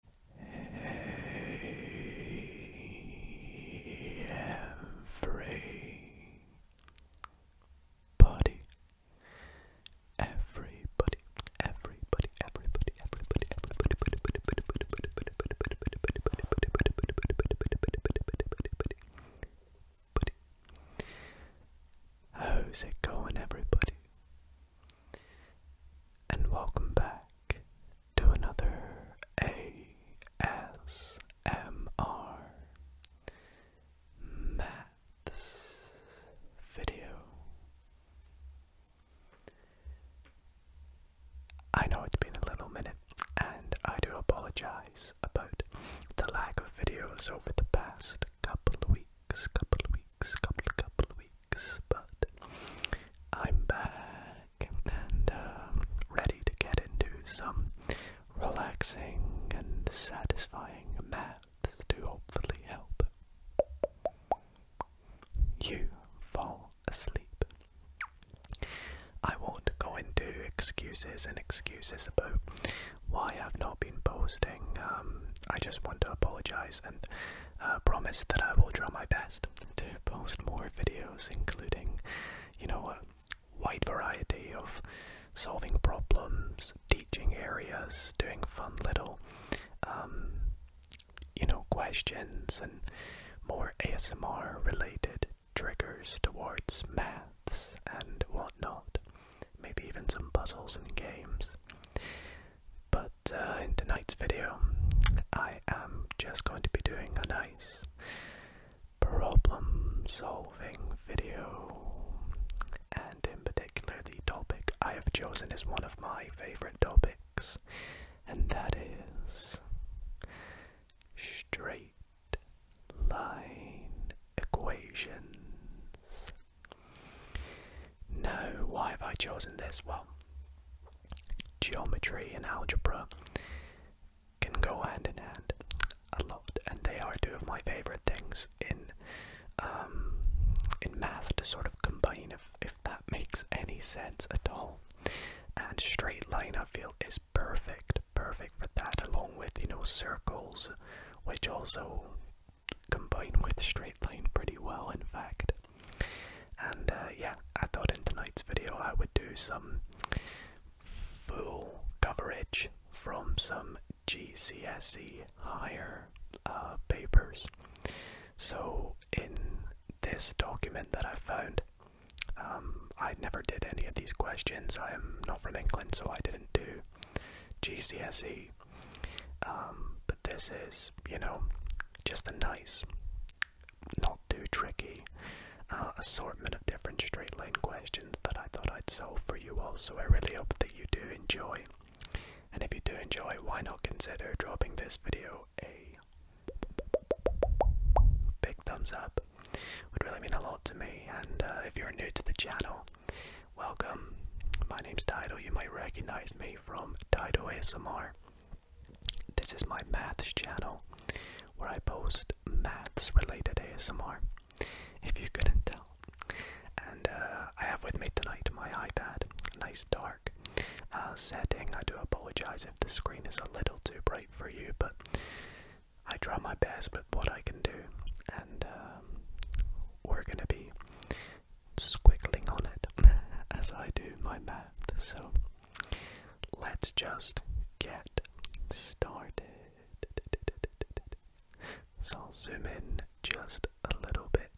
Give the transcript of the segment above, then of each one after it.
Hey, everybody. Everybody, everybody, everybody, everybody, everybody, How's it going, everybody? and welcome back to another ASMR Maths video. I know it's been a little minute, and I do apologize about the lack of videos over the past couple of weeks, couple of weeks, couple, couple of weeks but I'm back and um, ready to get into some relaxing and satisfying maths to hopefully help you fall asleep. I won't go into excuses and excuses about why I've not been posting. Um, I just want to apologize and uh, promise that I will try my best to post more videos, including, you know, a wide variety of solving problems, teaching areas, doing fun little, um, you know, questions and more ASMR related triggers towards maths and whatnot. Maybe even some puzzles and games. But uh, in tonight's video, I am just going to be doing a nice problem solving video, and in particular, the topic I have chosen is one of my favorite topics, and that is straight line equations. Now, why have I chosen this? Well, geometry and algebra can go hand in hand a lot, and they are two of my favorite things in um, in math to sort of combine, if if that makes any sense at all. And straight line, I feel, is perfect, perfect for that, along with you know circles, which also combine with straight line pretty well, in fact. And uh, yeah, I thought in tonight's video I would do some full coverage from some GCSE higher uh, papers. So in this document that I found, um, I never did any of these questions. I am not from England, so I didn't do GCSE. Um, this is, you know, just a nice, not too tricky uh, assortment of different straight line questions that I thought I'd solve for you all. So I really hope that you do enjoy. And if you do enjoy, why not consider dropping this video a big thumbs up? Would really mean a lot to me. And uh, if you're new to the channel, welcome. My name's Dido. You might recognize me from Dido ASMR. This is my math channel where I post math related ASMR, if you couldn't tell. And uh, I have with me tonight my iPad, nice dark uh, setting. I do apologize if the screen is a little too bright for you, but I try my best with what I can do. And um, we're gonna be squiggling on it as I do my math. So let's just get started. So I'll zoom in just a little bit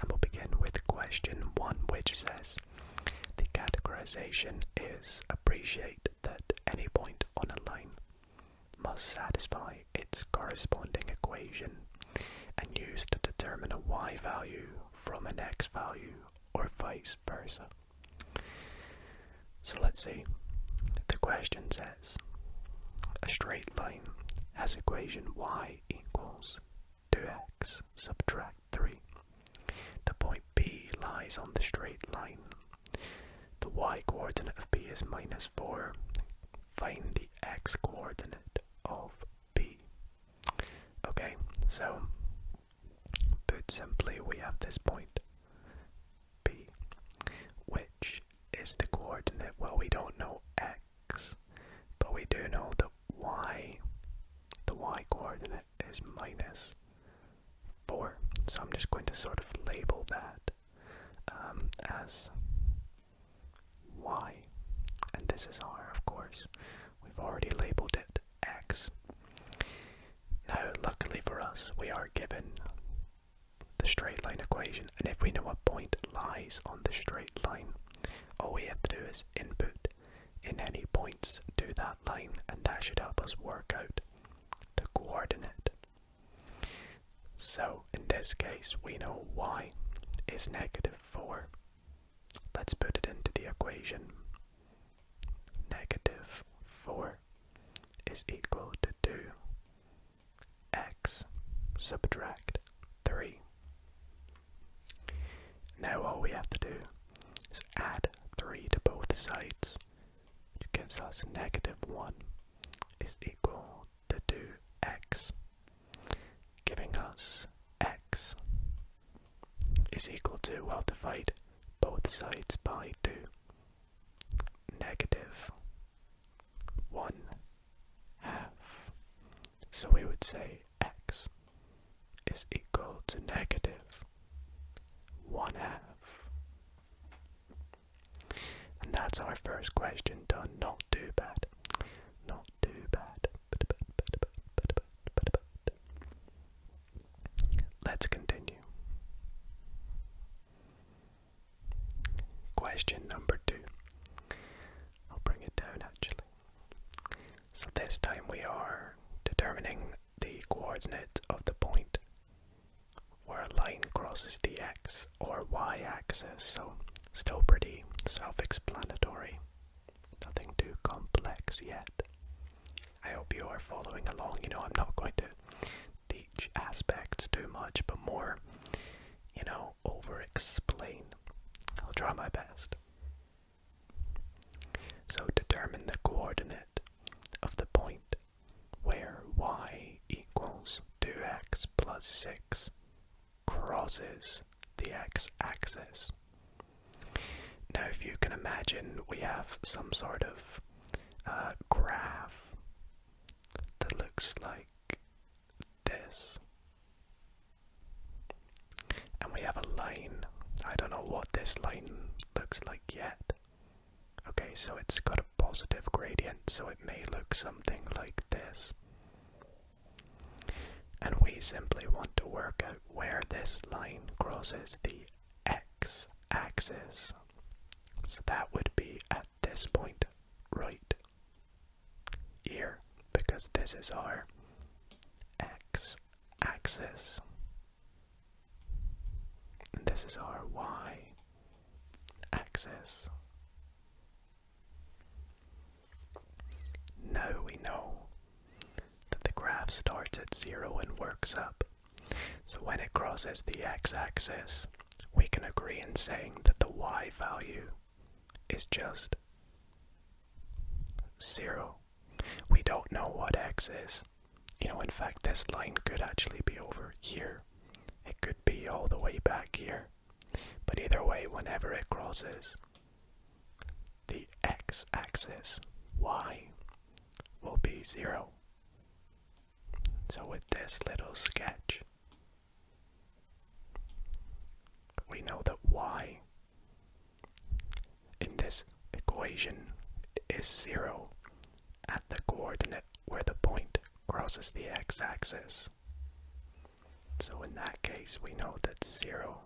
and we'll begin with question one, which says the categorization is appreciate that any point on a line must satisfy its corresponding equation and used to determine a y value from an x value or vice versa. So let's see. The question says a straight line has equation y equals 2x subtract 3. The point B lies on the straight line. The y coordinate of B is minus 4. Find the x coordinate of B. Okay, so put simply, we have this point P, which is the coordinate. Well, we don't know x, but we do know that y, the y coordinate, is minus 4. So I'm just going to sort of label that um, as y. And this is r, of course. We've already labeled it x. Now, luckily for us, we are given the straight line equation, and if we know a point lies on the straight line, all we have to do is input in any points to that line, and that should help us work out the coordinate. So in this case, we know y is negative 4 Let's put it into the equation. Negative 4 is equal to 2. X subtract 3. Now all we have to do is add 3 to both sides, which gives us negative 1 is equal to 2x giving us x is equal to, well, divide both sides by 2, negative 1 half. So we would say x is equal to negative 1 half. And that's our first question done. Not too bad. Not too bad. Let's continue. Question number two. I'll bring it down actually. So this time we are determining the coordinates of the point where a line crosses the x or y axis, so still pretty self explanatory nothing too complex yet. I hope you are following along. You know, I'm not going to teach aspects too much, but more, you know, over explain. I'll try my best. So, determine the coordinate of the point where y equals 2x plus 6 crosses the x axis. Now, if you can imagine, we have some sort of uh, graph that looks like this. And we have a line. I don't know what this line looks like yet. Okay, so it's got a positive gradient, so it may look something like this. And we simply want to work out where this line crosses the x-axis. So that would be at this point right here, because this is our x-axis. this is our y-axis. Now we know that the graph starts at zero and works up. So when it crosses the x-axis, we can agree in saying that the y value is just zero. We don't know what x is. You know, in fact, this line could actually be over here. It could be all the way back here. But either way, whenever it crosses the x-axis y will be 0. So with this little sketch, we know that y in this equation is 0 at the coordinate where the point crosses the x-axis. So in that case, we know that zero,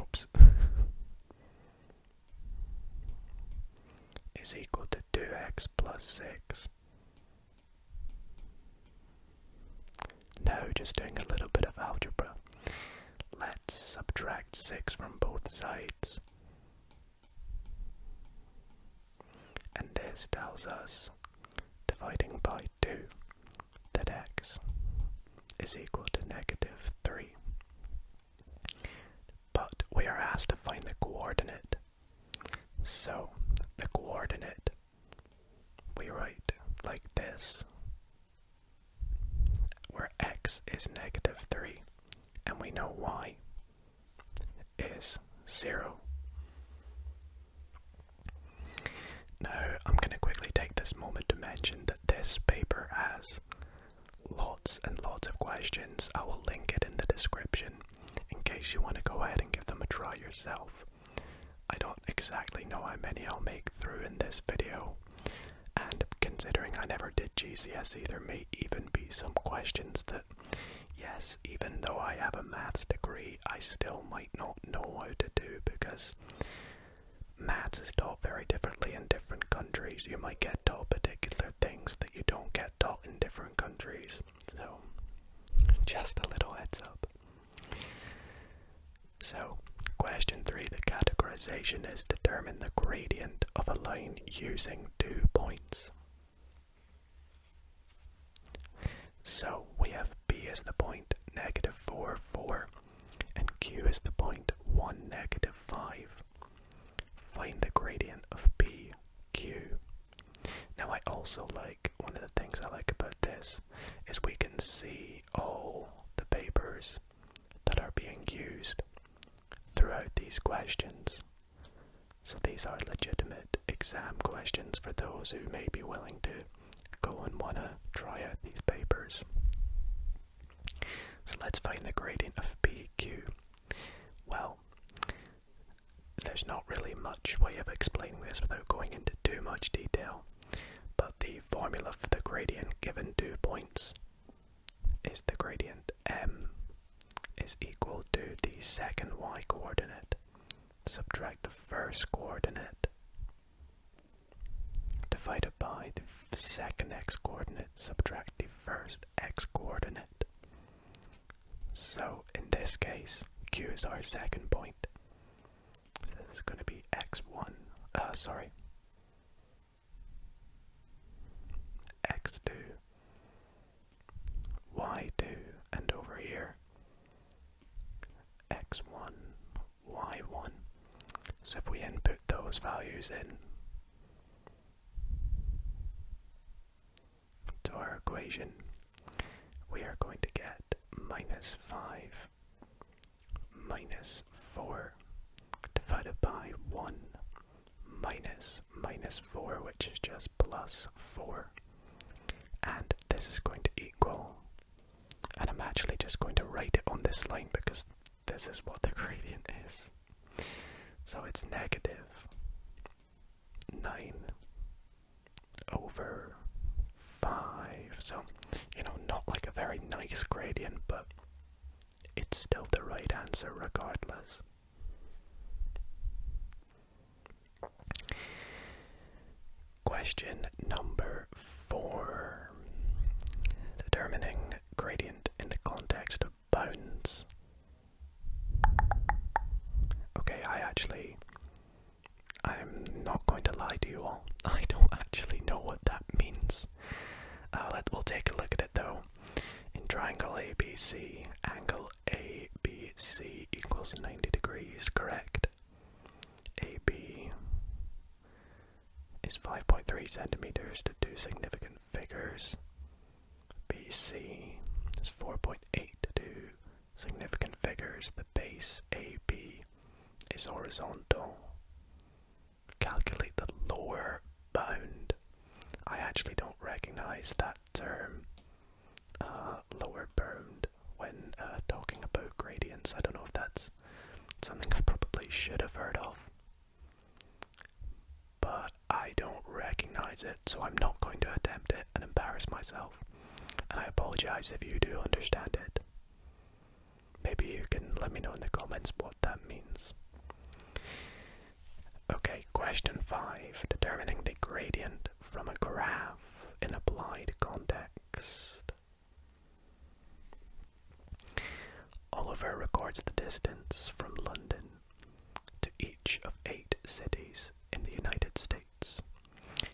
oops, is equal to 2x plus 6. Now, just doing a little bit of algebra. Let's subtract 6 from both sides. And this tells us dividing by 2 that x is equal to negative 3. But we are asked to find the coordinate. So the coordinate we write like this, where x is negative 3, and we know y is 0. Now, I'm going to quickly take this moment to mention that this paper has lots and lots of questions. I will link it in the description in case you want to go ahead and give them a try yourself. I don't exactly know how many I'll make through in this video, and considering I never did GCSE, there may even be some questions that, yes, even though I have a maths degree, I still might not know how to do because maths is taught very differently in different countries. You might get taught particular things that you don't get taught in different countries. So, just a little heads up. So, question three the categorization is determine the gradient of a line using two points. So we have b as the point, negative 4, 4 and q is the point 1, negative 5. Find the gradient of BQ. Now I also like, one of the things I like about this is we can see all the papers that are being used throughout these questions. So these are legitimate exam questions for those who may be willing to go and wanna try out these papers. So let's find the gradient of PQ. Well, there's not really much way of explaining this without going into too much detail, but the formula for the gradient given two points is the gradient m is equal to the second y coordinate subtract the first coordinate divided by the second x coordinate, subtract the first x coordinate. So in this case, q is our second point. this is going to be x1, uh, sorry, x2, y2, and over here, x1, y1. So if we input those values in to our equation, we are going to get minus 5 minus 4 divided by 1 minus minus 4, which is just plus 4. And this is going to equal and I'm actually just going to write it on this line because this is what the gradient is. So it's negative 9 over 5. So, you know, not like a very nice gradient, but it's still the right answer regardless. Question number four. Determining gradient in the context of bones. Okay, I actually, I'm not going to lie to you all. I don't actually know what that means. Uh, let, we'll take a look at it though. In triangle ABC, angle ABC equals 90 degrees, correct? AB is 5.3 centimeters to two significant figures. BC is 4.8 to two significant figures. The base AB is horizontal. Calculate the lower bound. I actually don't recognize that term. Uh, lower bound when uh, talking about gradients. I don't know if that's something I probably should have heard of, but I don't recognize it, so I'm not going to attempt it and embarrass myself. And I apologize if you do understand it. Maybe you can let me know in the comments what that means. Okay, question 5. Determining the gradient from a graph in applied context. Oliver records the distance from London to each of eight cities in the United States.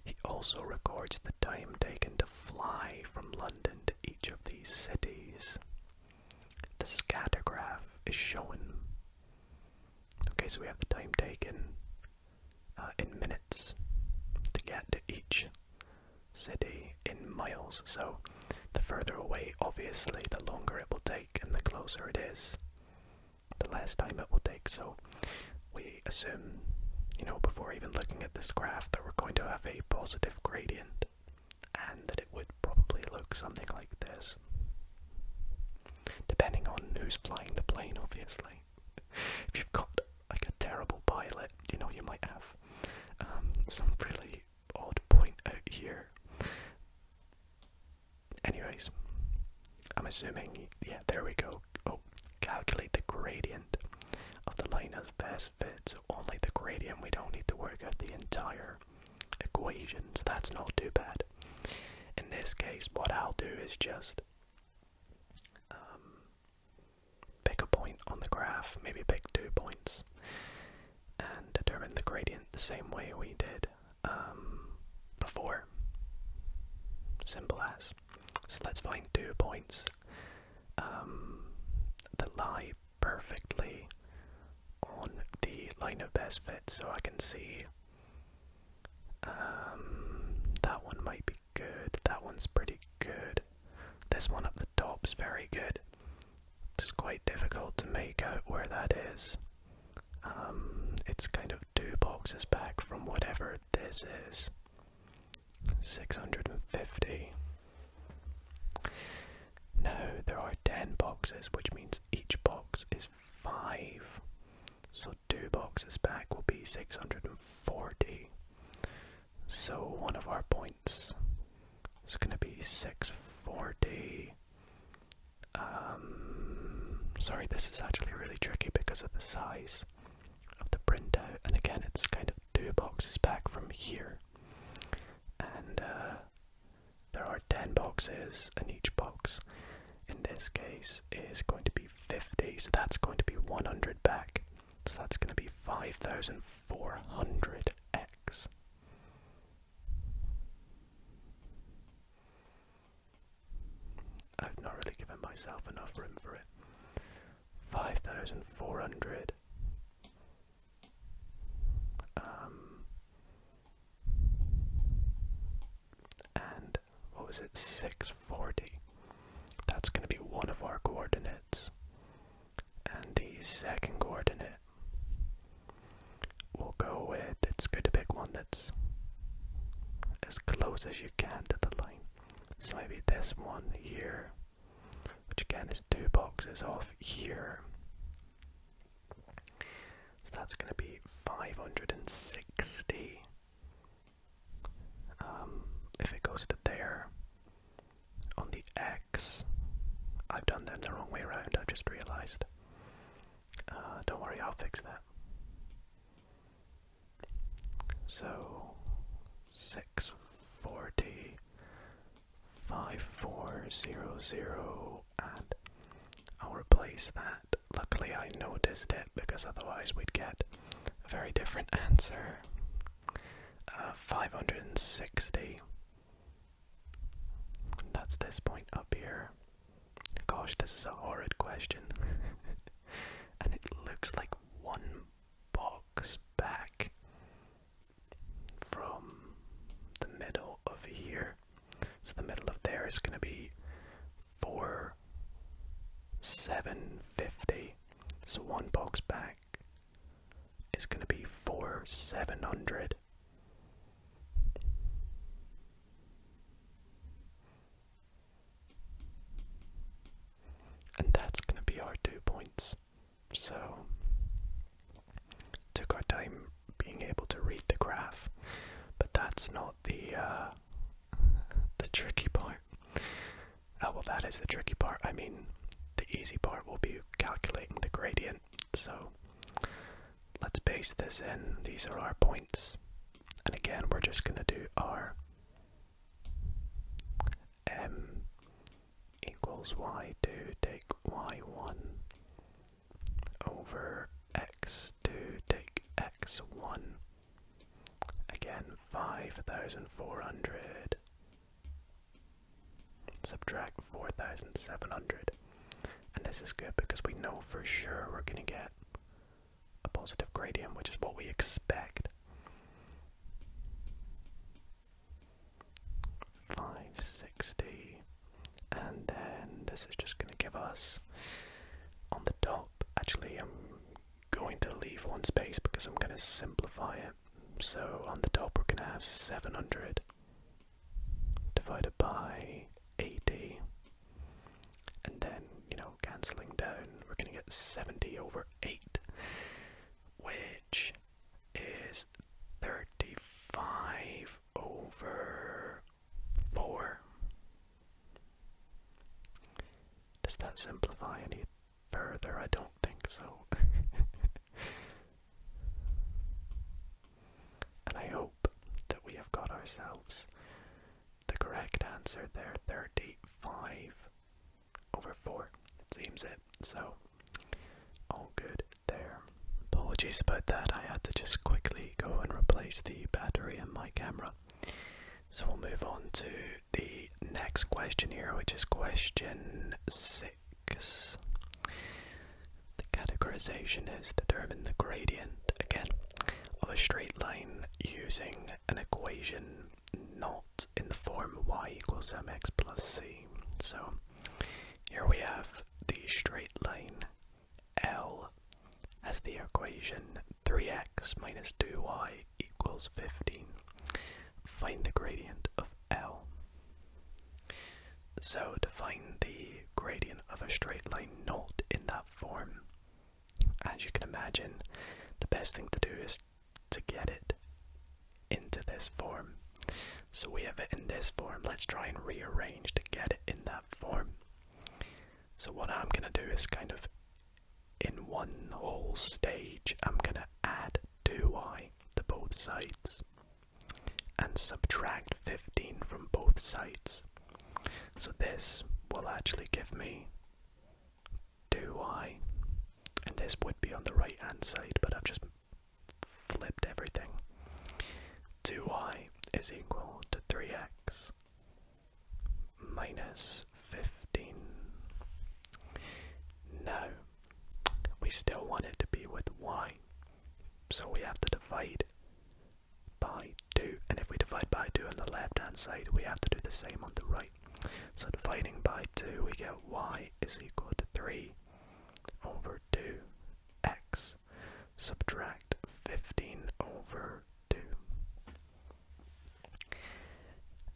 He also records the time taken to fly from London to each of these cities. The scattergraph is shown. Okay, so we have the time taken, uh, in minutes to get to each city in miles. So the further away, obviously, the longer it will take, and the closer it is, the less time it will take. So we assume, you know, before even looking at this graph, that we're going to have a positive gradient and that it would probably look something like this. Depending on who's flying the plane, obviously. if you've got like a terrible pilot, you know you might have um, some really odd point out here. Anyways, I'm assuming, yeah, there we go. Oh, calculate the gradient of the line of best fit. So only the gradient, we don't need to work out the entire equations. that's not too bad. In this case, what I'll do is just um, Pick a point on the graph, maybe pick two points, and determine the gradient the same way we did um, before. Simple as. So let's find two points um, that lie perfectly on the line of best fit so I can see um, that one might be good. That one's pretty good. This one up the top's very good. It's quite difficult to make out where that is. Um, it's kind of two boxes back from whatever this is. 650. Now, there are 10 boxes, which means each box is 5. So, two boxes back will be 640. So one of our points is going to be 640. Um, sorry, this is actually really tricky because of the size of the printout, and again, it's kind of two boxes back from here. And uh, there are 10 boxes, and each box in this case is going to be 50, so that's going to be 100 back. So that's going to be 5400x. I've not really given myself enough room for it. 5400 um, and what was it 640 that's going to be one of our coordinates. And the second coordinate, we'll go with it's good to pick one that's as close as you can to the line. So maybe this one here, which again is two boxes off here. So that's going to be 560 um, if it goes to there, on the X, I've done them the wrong way around, I have just realized. Uh, don't worry, I'll fix that. So, 640, 5400, and I'll replace that. Luckily I noticed it because otherwise we'd get a very different answer. Uh, 560. That's this point up here. Gosh, this is a horrid question. and it looks like one box back from the middle of here. So the middle of there is going to be 4 750. So one box back is going to be four seven hundred. And that's going to be our two points. So, took our time being able to read the graph, but that's not the uh, the tricky part. Oh, well, that is the tricky part. I mean, the easy part will be calculating the gradient. So let's base this in. These are our points. And again, we're just going to do r m equals y2 take y1 over x2 take x1 Again, 5,400. Subtract 4,700. And this is good because we know for sure we're going to get a positive gradient, which is what we expect. 560. And then this is just going to give us on the top. Actually, i um, going to leave one space because I'm going to simplify it. So on the top we're going to have 700 divided by 80. And then, you know, cancelling down, we're going to get 70 over 8, which is 35 over 4. Does that simplify any? further. I don't think so. and I hope that we have got ourselves the correct answer there 35 over 4. It seems it. So, all good there. Apologies about that, I had to just quickly go and replace the battery in my camera so we'll move on to the next question here, which is question six. The categorization is determine the gradient again of a straight line using an equation not in the form y equals mx plus c. So here we have the straight line L as the equation 3x minus 2y equals 15. Find the gradient of L. So to find the gradient of a straight line not in that form, as you can imagine, the best thing to do is to get it into this form. So we have it in this form. Let's try and rearrange to get it in that form. So what I'm going to do is kind of in one whole stage I'm going to add 2 y to both sides and subtract 15 from both sides. So this will actually give me 2 y and this would be on the right hand side but I've just flipped everything. 2 y is equal to 3x minus 15. Now, we still want it to be with y, so we have to divide by 2, and if we divide by 2 on the left hand side, we have to do the same on the right. So dividing by 2, we get y is equal to 3 over 2x, subtract 15 over 2.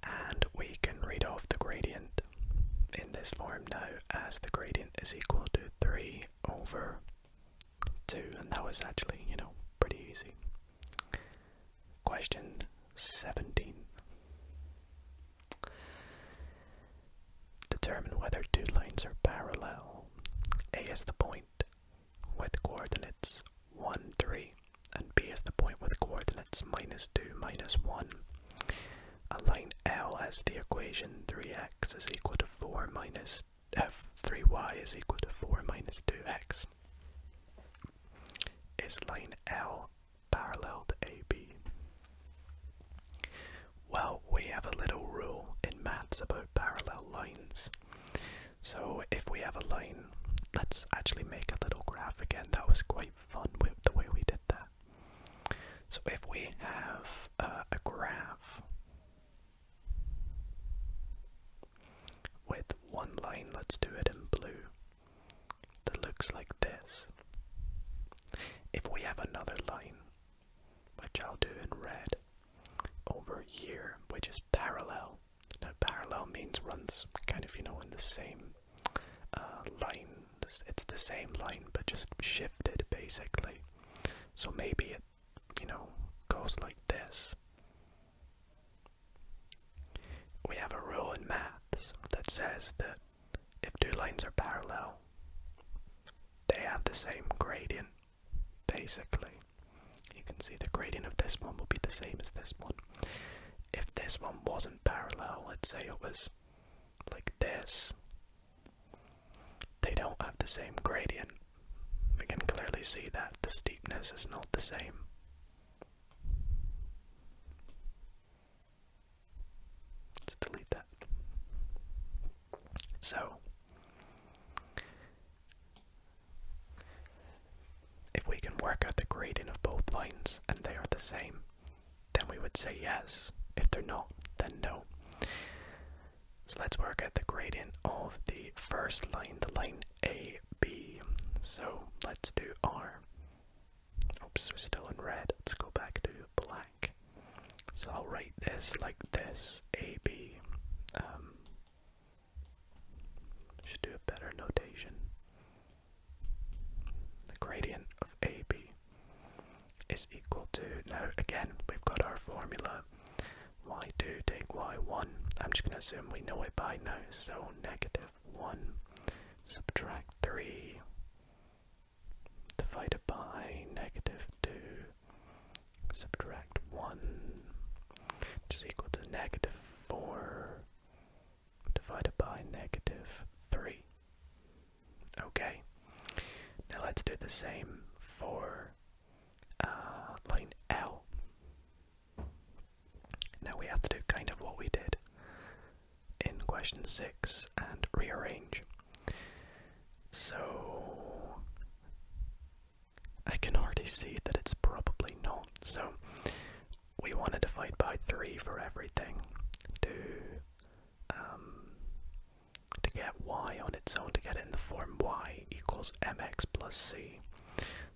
And we can read off the gradient in this form now as the gradient is equal to 3 over 2. And that was actually, you know, pretty easy. Question 17. Determine whether two lines are parallel. A is the point with coordinates 1, 3 and B is the point with coordinates minus 2, minus 1. line L as the equation 3x is equal to 4 minus f 3y is equal to 4 minus 2x. Is line L parallel to AB? Well, we have a little rule in maths about parallel lines. So if we have a line, let's actually make a little graph again. That was quite fun with the way we did that. So if we have uh, a graph with one line, let's do it in blue, that looks like this. If we have another line, which I'll do in red, over here, which is parallel now, parallel means runs kind of, you know, in the same uh, line. It's the same line, but just shifted basically. So maybe it, you know, goes like this. We have a rule in maths that says that if two lines are parallel, they have the same gradient, basically. You can see the gradient of this one will be the same as this one if this one wasn't parallel, let's say it was like this, they don't have the same gradient. We can clearly see that the steepness is not the same. Let's delete that. So, if we can work out the gradient of both lines and they are the same, then we would say yes. If they're not, then no. So let's work out the gradient of the first line, the line AB. So let's do R. Oops, we're still in red. Let's go back to black. So I'll write this like this AB. Um, should do a better notation. The gradient of AB is equal to, now again, we've got our formula y2 take y1. I'm just going to assume we know it by now, so negative 1 subtract 3 divided by negative 2 subtract 1 which is equal to negative 4 divided by negative 3. Okay, now let's do the same for uh, line L. Now we have to do kind of what we did in question 6 and rearrange. So, I can already see that it's probably not. So, we wanted to divide by three for everything to um, to get y on its own to get it in the form y equals mx plus c.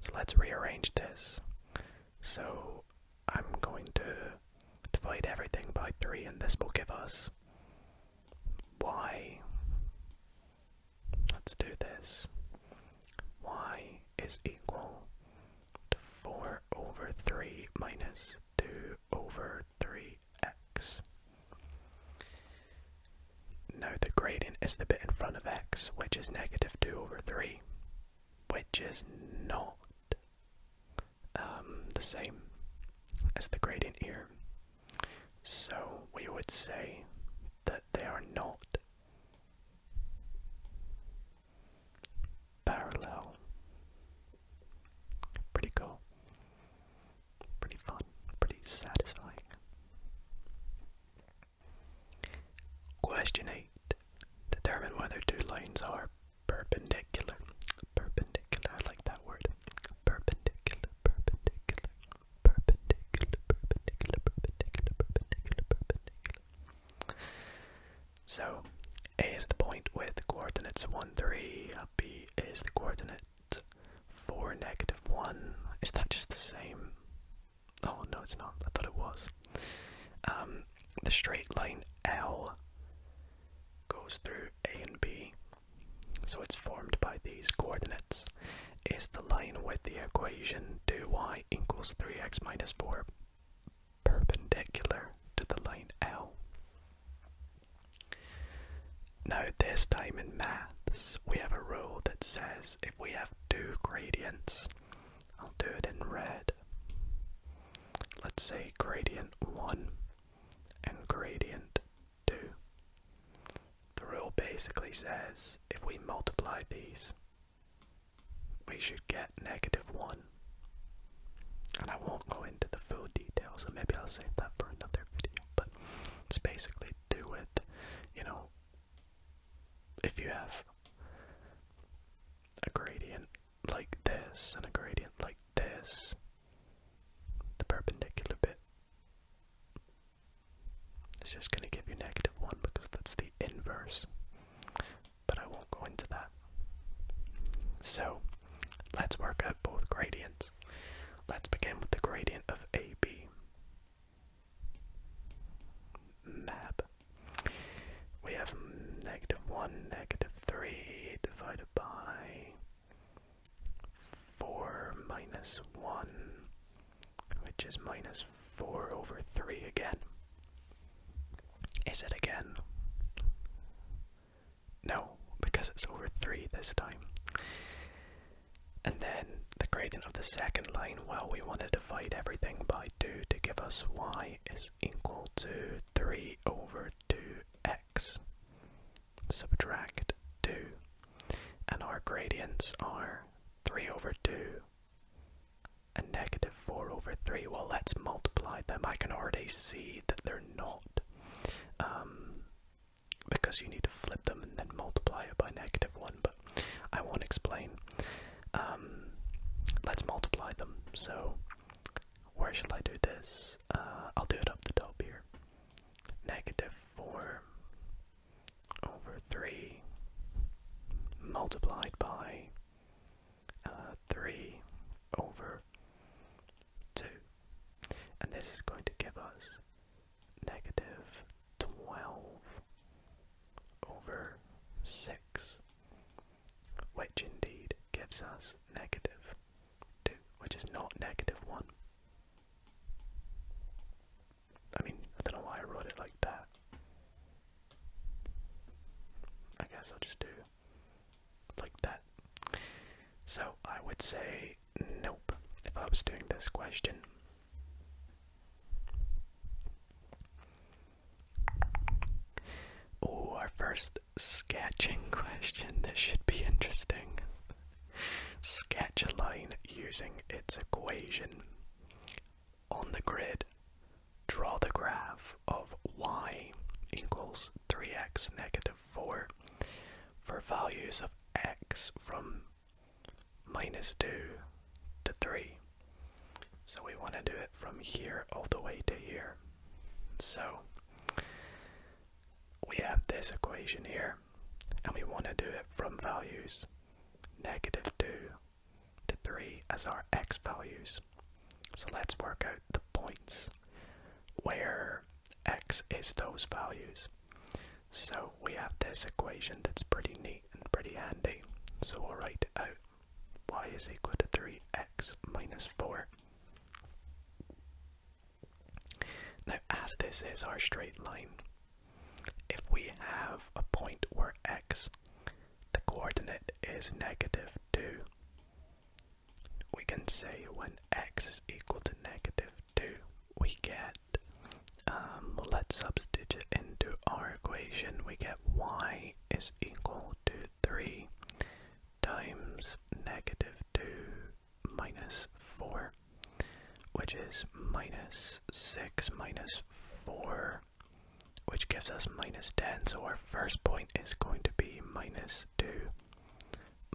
So let's rearrange this. So I'm going to divide everything by three, and this will give us y. Let's do this. y is equal to 4 over 3 minus 2 over 3x. Now the gradient is the bit in front of x, which is negative 2 over 3, which is not um, the same as the gradient here. So we would say that they are not parallel. Pretty cool. Pretty fun. Pretty satisfying. Question 8. Determine whether two lines are perpendicular. Perpendicular, I like that word. Perpendicular, perpendicular, perpendicular, perpendicular, perpendicular, perpendicular, perpendicular, so A is the point with coordinates 1, 3, B is the coordinate 4, negative 1. Is that just the same? Oh no it's not, I thought it was. Um, the straight line L goes through A and B, so it's formed by these coordinates. Is the line with the equation given 2y equals 3x minus 4 perpendicular to the line L. Now this time in maths we have a rule that says if we have two gradients, I'll do it in red. Let's say gradient 1 and gradient 2. The rule basically says if we multiply these, we should get negative 1. And I won't go into the full details, so maybe I'll save that for another video. But it's basically do with, you know, if you have a gradient like this and a gradient like this, the perpendicular bit is just going to give you negative 1 because that's the inverse but I won't go into that. So let's work out both gradients. Let's begin with the gradient of AB. Map. We have negative 1, negative 3 divided by 4 minus 1 which is minus 4 over 3 again. Is it again? No, because it's over 3 this time. And then the gradient of the second line, well, we want to divide everything by 2 to give us y is equal to 3 over 2x. Subtract 2. And our gradients are 3 over 2 a negative 4 over 3. Well, let's multiply them. I can already see that they're not. Um, because you need to flip them and then multiply it by negative 1, but I won't explain. Um, let's multiply them. So, where should I do this? Uh, I'll do it up the top here. Negative 4 over 3 multiplied by uh, 3 over 2. And this is going to give us negative 12 over 6, which indeed gives us negative 2, which is not negative 1. I mean, I don't know why I wrote it like that. I guess I'll just do like that. So I would say nope if I was doing this question. Oh, our first sketching question. This should be interesting. Sketch a line using its equation on the grid, draw the graph of y equals 3x negative 4 for values of x from minus 2 to 3. So we want to do it from here all the way to here. So we have this equation here, and we want to do it from values negative 2 the 3 as our x values. So let's work out the points where x is those values. So we have this equation that's pretty neat and pretty handy. So we'll write out y is equal to 3x minus 4. Now as this is our straight line, if we have a point where x the coordinate is negative 2. We can say when x is equal to negative 2, we get, um, let's substitute it into our equation, we get y is equal to 3 times negative 2 minus 4, which is minus 6 minus 4 which gives us minus 10. So our first point is going to be minus 2,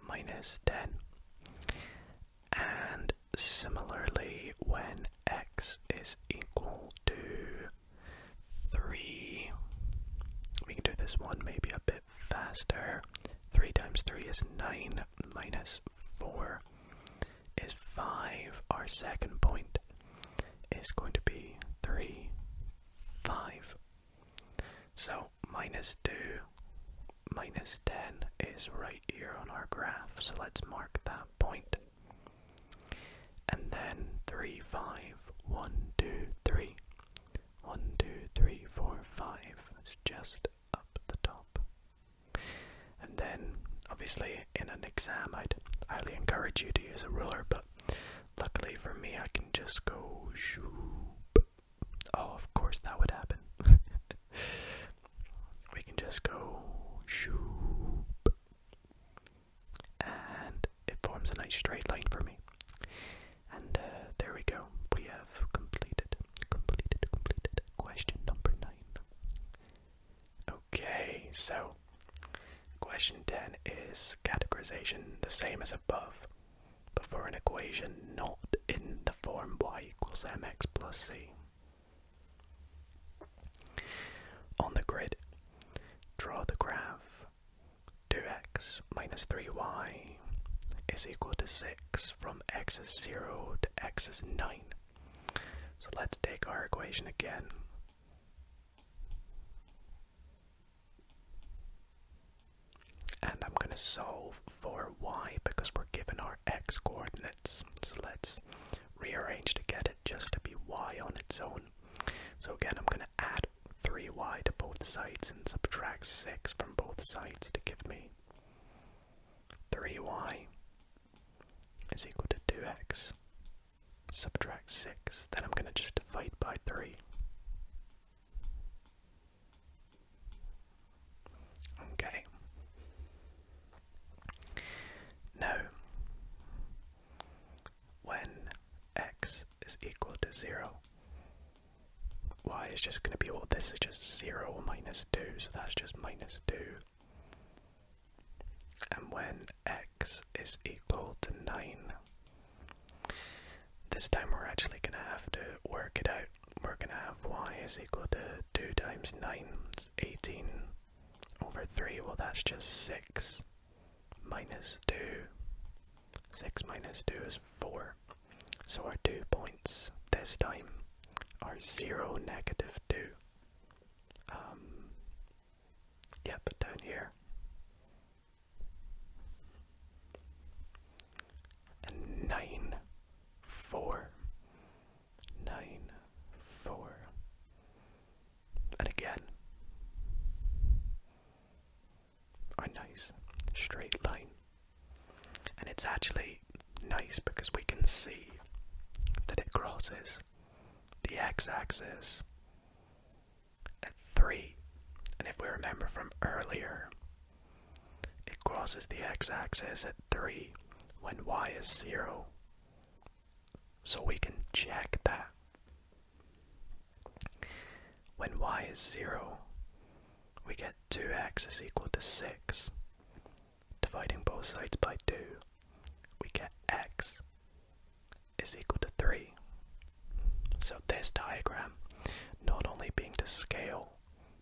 minus 10. And similarly, when x is equal to 3, we can do this one maybe a bit faster. 3 times 3 is 9 minus 4 is 5. Our second point is going to be 3, 5. So minus 2, minus 10 is right here on our graph, so let's mark that point. And then 3, 5, 1, 2, 3, 4, 5. It's just up the top. And then, obviously, in an exam, I'd highly encourage you to use a ruler, but luckily for me, I can just go shoop. Oh, of course, that would happen. we can just go And it forms a nice straight line for me. And uh, there we go. We have completed, completed, completed question number nine. Okay, so question 10 is categorization the same as above, but for an equation not in the form y equals mx plus c. On the grid, draw the graph 2x minus 3y is equal to 6 from x is 0 to x is 9. So let's take our equation again. And I'm going to solve for y because we're given our x coordinates. So let's rearrange to get it just to be y on its own. So again, I'm going to add 3y to both sides and subtract 6 from both sides to give me 3y is equal to 2x subtract 6, then I'm going to just divide by 3. Okay. Now, when x is equal to 0, y is just going to be, well, this is just 0 minus 2, so that's just minus 2 and when x is equal to 9. This time we're actually going to have to work it out. We're going to have y is equal to 2 times 9, it's 18 over 3, well that's just 6 minus 2. 6 minus 2 is 4. So our two points this time are 0, negative 2. Um, Yep, down here. nine, four, nine, four, and again. Oh, nice straight line, and it's actually nice because we can see that it crosses the x-axis at 3. And if we remember from earlier, it crosses the x-axis at 3 when y is 0. So we can check that. When y is 0, we get 2x is equal to 6, dividing both sides by 2 we get x is equal to 3. So this diagram, not only being to scale,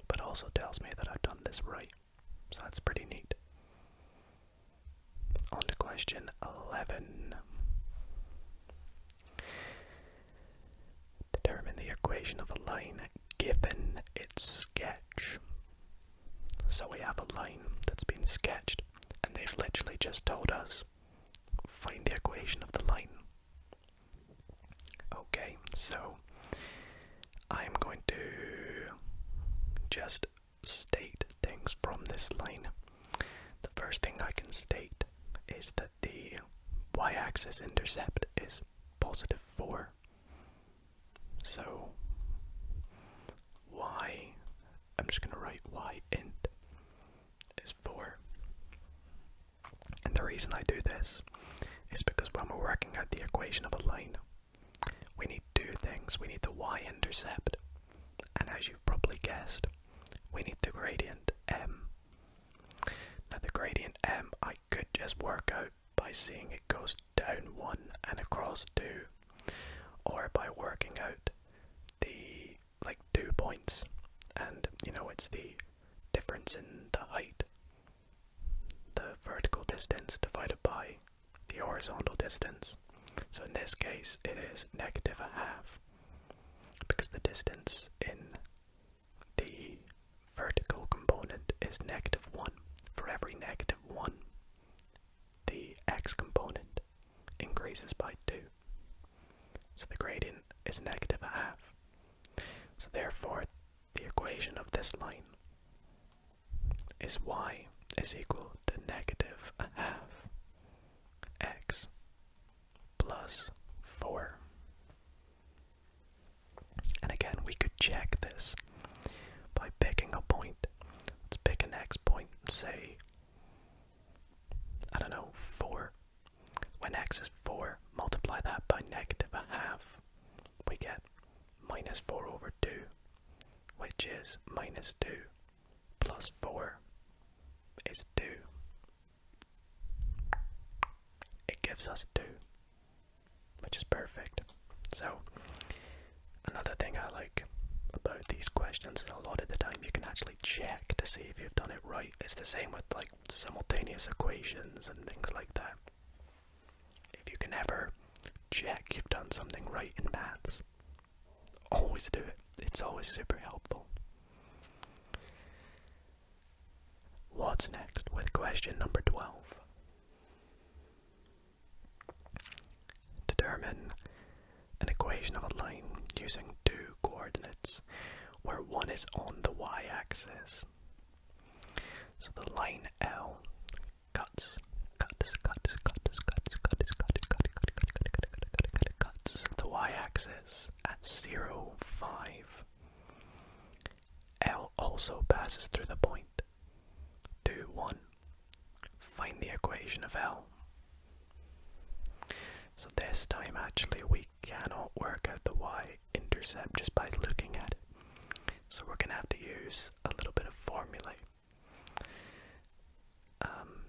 but also tells me that I've done this right. So that's pretty neat. On to question 11. Determine the equation of a line given its sketch. So we have a line that's been sketched, and they've literally just told us find the equation of the line. Okay, so I'm going to just state things from this line. The first thing I can state is that the y-axis intercept is positive 4 so y, I'm just gonna write y int is 4. And the reason I do this is because when we're working out the equation of a line, we need two things. We need the y-intercept, and as you've probably guessed, we need the gradient m. Now the gradient m I could just work out by seeing it goes down one and across two, or by working out the like two points, and you know it's the difference in the height, the vertical distance divided by the horizontal distance. So in this case, it is negative a half because the distance in the vertical component is negative 1. For every negative 1 the x component increases by 2. So the gradient is negative a half. So therefore, the equation of this line is y is equal to negative a half x plus 4. And again, we could check this by picking a point. Let's pick an x point point. say, I don't know, 4. When x is 4, multiply that by negative a half. We get minus 4 over 2, which is minus 2 plus 4 is 2. It gives us 2, which is perfect. So, another thing I like about these questions is a lot of the time you can actually check to see if you've done it right. It's the same with like simultaneous equations and things like that. If you can ever check you've done something right in maths, always do it. It's always super helpful. What's next with question number 12? Determine an equation of a line using two coordinates where one is on the y-axis. So the line L cuts, cuts, cuts, cuts, cuts, cuts, cuts, cuts, cuts the y-axis at zero five. L also passes through the point point two one. Find the equation of L. So this time actually we cannot work out the y-intercept just by looking at it. So we're going to have to use a little bit of formulae. Um,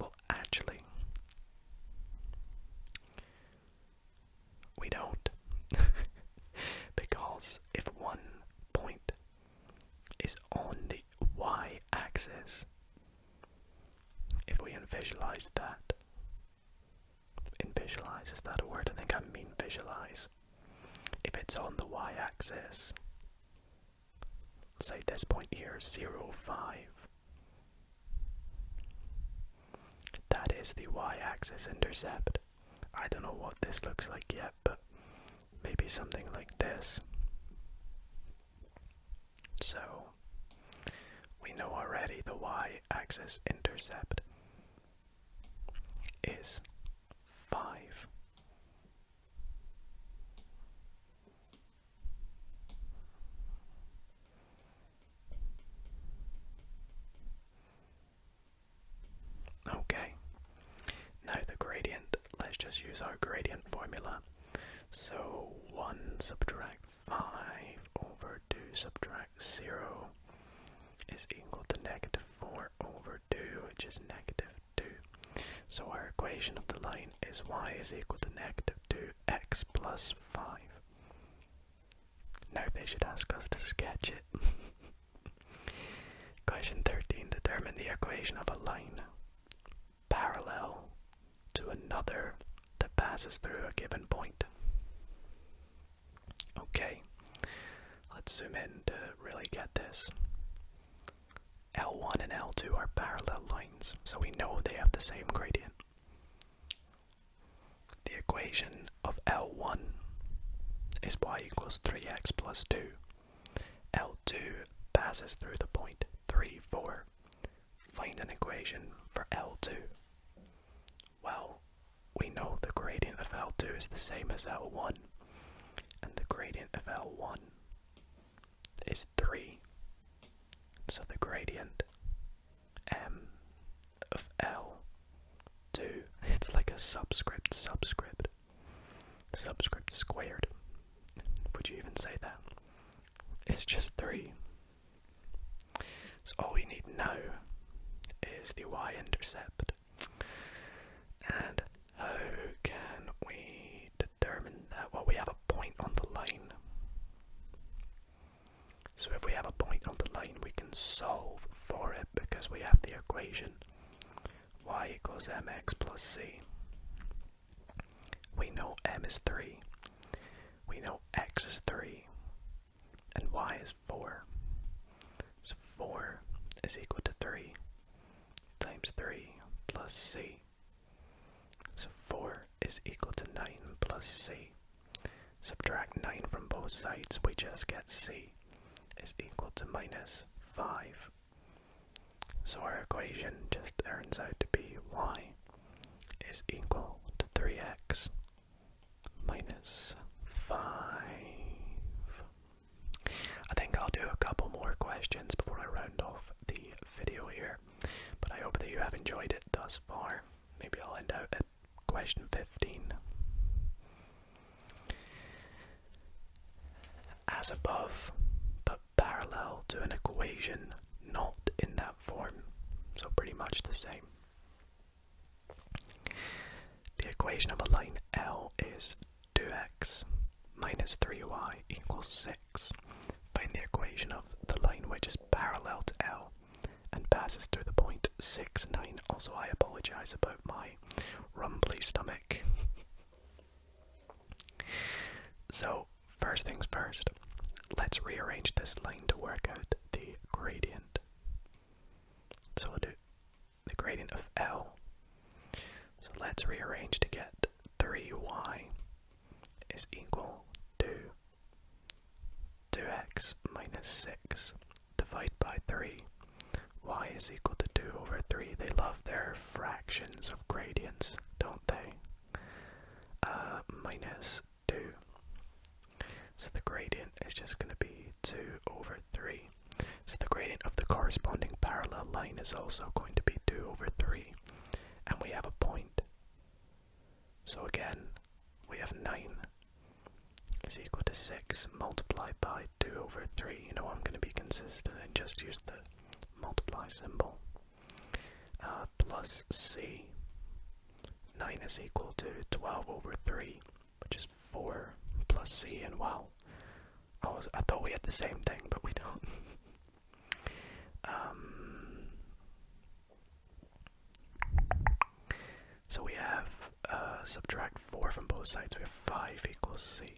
well actually, we don't because if one point is on the y axis. If we visualize that, visualize, is that a word? I think I mean visualize. If it's on the y axis, say this point here, zero five. That is the y axis intercept. I don't know what this looks like yet, but maybe something like this. So, we know already the y axis intercept is 5. Okay, now the gradient, let's just use our gradient formula. So 1 subtract 5 over 2 subtract 0 is equal to negative 4 over 2, which is negative 2. So our equation of the line is y is equal to negative 2x plus 5. Now they should ask us to sketch it. Question 13. Determine the equation of a line parallel to another that passes through a given point. Okay, let's zoom in to really get this. L1 and L2 are parallel lines, so we know they have the same gradient. The equation of L1 is y equals 3x plus 2 L2 passes through the point 3, 4. Find an equation for L2. Well, we know the gradient of L2 is the same as L1, and the gradient of L1 is 3. So the gradient m of L2, it's like a subscript subscript, Subscript squared. Would you even say that? It's just three. So all we need to know is the y-intercept. And how can we determine that? Well, we have a point on the line. So if we have a point on the line, we can solve for it because we have the equation y equals mx plus c. We know m is 3. We know x is 3. And y is 4. So 4 is equal to 3 times 3 plus c. So 4 is equal to 9 plus c. Subtract 9 from both sides, we just get c is equal to minus 5. So our equation just turns out to be y is equal to 3x minus 5. I think I'll do a couple more questions before I round off the video here, but I hope that you have enjoyed it thus far. Maybe I'll end out at question 15. As above, but parallel to an equation not in that form, so pretty much the same. The equation of a line L is 2x minus 3y equals 6. Find the equation of the line which is parallel to L and passes through the point 6, 9. Also, I apologize about my rumbly stomach. so, first things first, let's rearrange this line to work out the gradient. So we'll do the gradient of L. So let's rearrange to get 3y is equal to 2x minus 6 divide by 3. y is equal to 2 over 3. They love their fractions of gradients, don't they? Uh, 2. So the gradient is just going to be 2 over 3. So the gradient of the corresponding parallel line is also going to be 2 over 3. And we have a point. So again, we have 9 is equal to 6 multiplied by 2 over 3, you know I'm going to be consistent and just use the multiply symbol. Uh, plus c, 9 is equal to 12 over 3, which is 4 plus c, and wow, I, was, I thought we had the same thing, but we don't. um, so we have uh, subtract 4 from both sides, we have 5 equals c.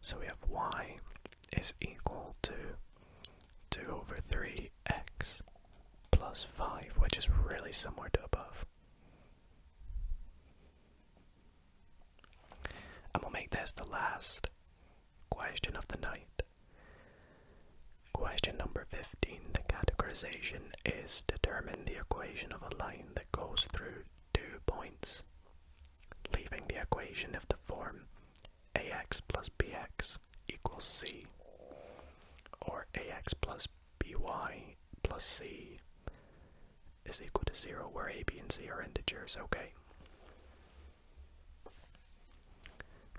So we have y is equal to 2 over 3x plus 5, which is really similar to above. And we'll make this the last question of the night. Question number 15. The categorization is determine the equation of a line that goes through two points, leaving the equation of the form ax plus bx equals c, or ax plus by plus c is equal to 0, where a, b, and c are integers, okay?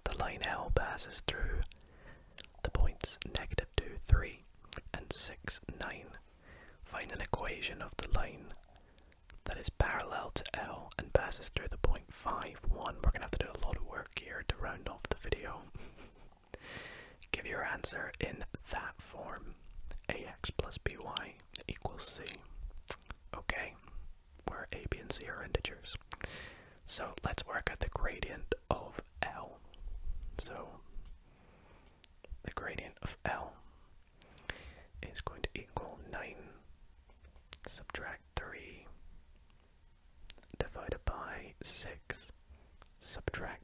The line L passes through the points negative 2, 3, and 6, 9, Find an equation of the line that is parallel to L and passes through the point 5, 1. We're going to have to do a lot of work here to round off the video. Give your answer in that form. AX plus BY equals C. Okay, where A, B, and C are integers. So let's work at the gradient of L. So the gradient of L is going to equal 9 subtract 3 divided by 6 subtract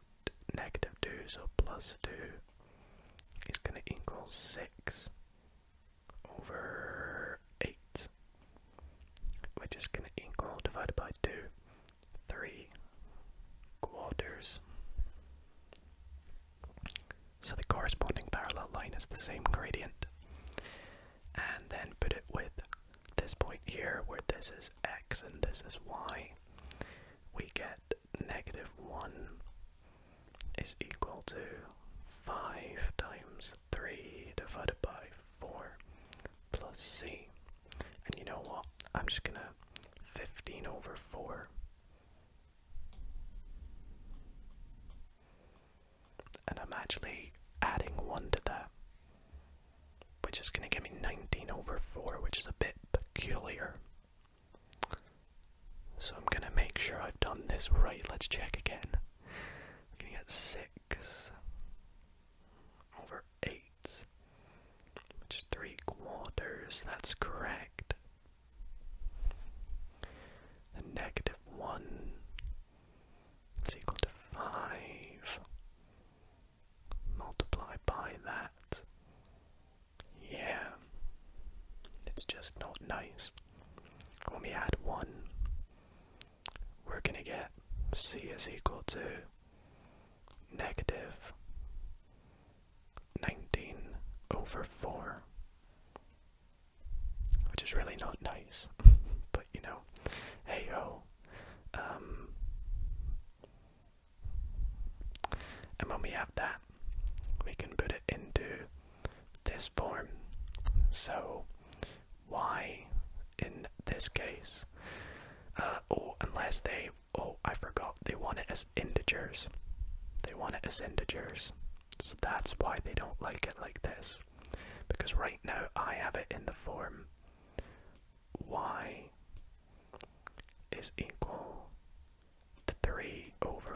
negative 2, so plus 2 is going to equal 6 over 8, we We're just going to equal divided by 2 three quarters. So the corresponding parallel line is the same gradient. And then put it with this point here where this is x and this is y. We get negative 1 is equal to 5 times 3 divided by 4 plus c. And you know what? I'm just gonna 15 over 4. And I'm actually adding 1 to that, which is going to give me 19 over 4, which is a bit peculiar. So I'm going to make sure I've done this right. Let's check again. I'm going to get 6 over 8 eighths, three quarters. That's correct. And negative one equal to five. Multiply by that. Yeah. It's just not nice. When we add one, we're gonna get c is equal to negative 19 over 4. Which is really not nice, but you know, hey ho. Um, and when we have that, we can put it into this form. So, y in this case, uh, or oh, unless they oh, I forgot, they want it as integers. They want it as integers. So that's why they don't like it like this. Because right now I have it in the form y is equal to 3 over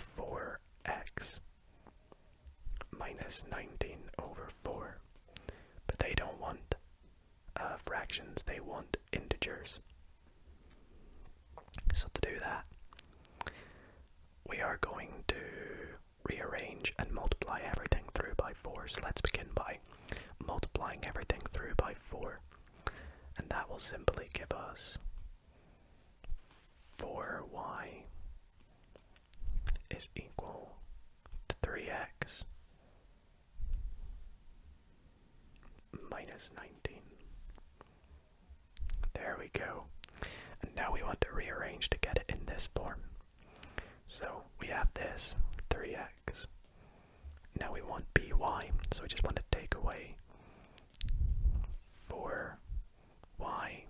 4x minus 19 over 4. But they don't want uh, fractions, they want integers. So, to do that, we are going to rearrange and multiply everything through by 4. So, let's begin by multiplying everything through by 4. And that will simply give us 4y is equal to 3x minus 19. There we go. And now we want to rearrange to get it in this form. So we have this 3x. Now we want by, so we just want to take away 4y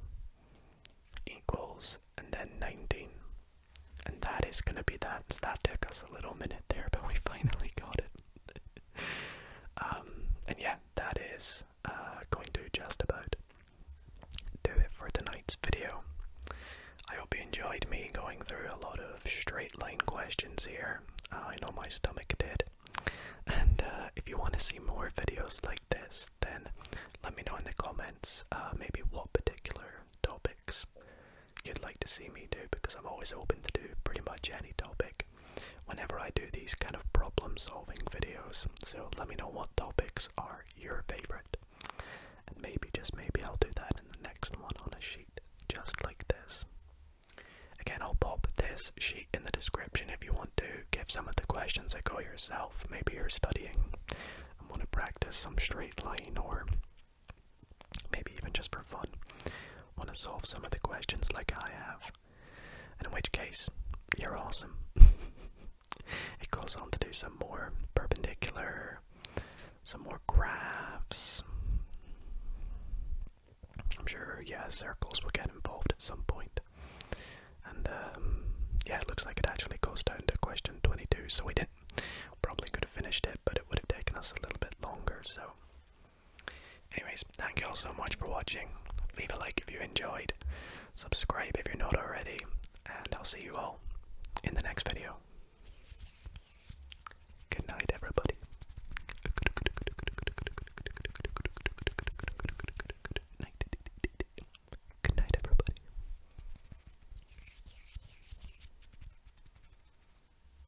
equals and then 19. And that is going to be that. So that took us a little minute there, but we finally got it. Um, and yeah, that is uh, going to just about do it for tonight's video. I hope you enjoyed me going through a lot of straight line questions here. Uh, I know my stomach did. And uh, if you want to see more videos like this, then let me know in the comments maybe what particular topics you'd like to see me do because I'm always open to do pretty much any topic whenever I do these kind of problem solving videos. So let me know what topics are your favorite. And maybe, just maybe, I'll do that in the next one on a sheet just like this. Again, I'll pop this sheet in the description if you want to give some of the questions a go yourself. Maybe you're studying and want to practice some straight line or maybe even just for fun, want to solve some of the questions like I have. And in which case, you're awesome. it goes on to do some more perpendicular, some more graphs. I'm sure, yeah, circles will get involved at some And um, yeah, it looks like it actually goes down to question 22, so we didn't. Probably could have finished it, but it would have taken us a little bit longer, so Anyways, thank you all so much for watching. Leave a like if you enjoyed, subscribe if you're not already, and I'll see you all in the next video. Good night, everybody. Good night, everybody.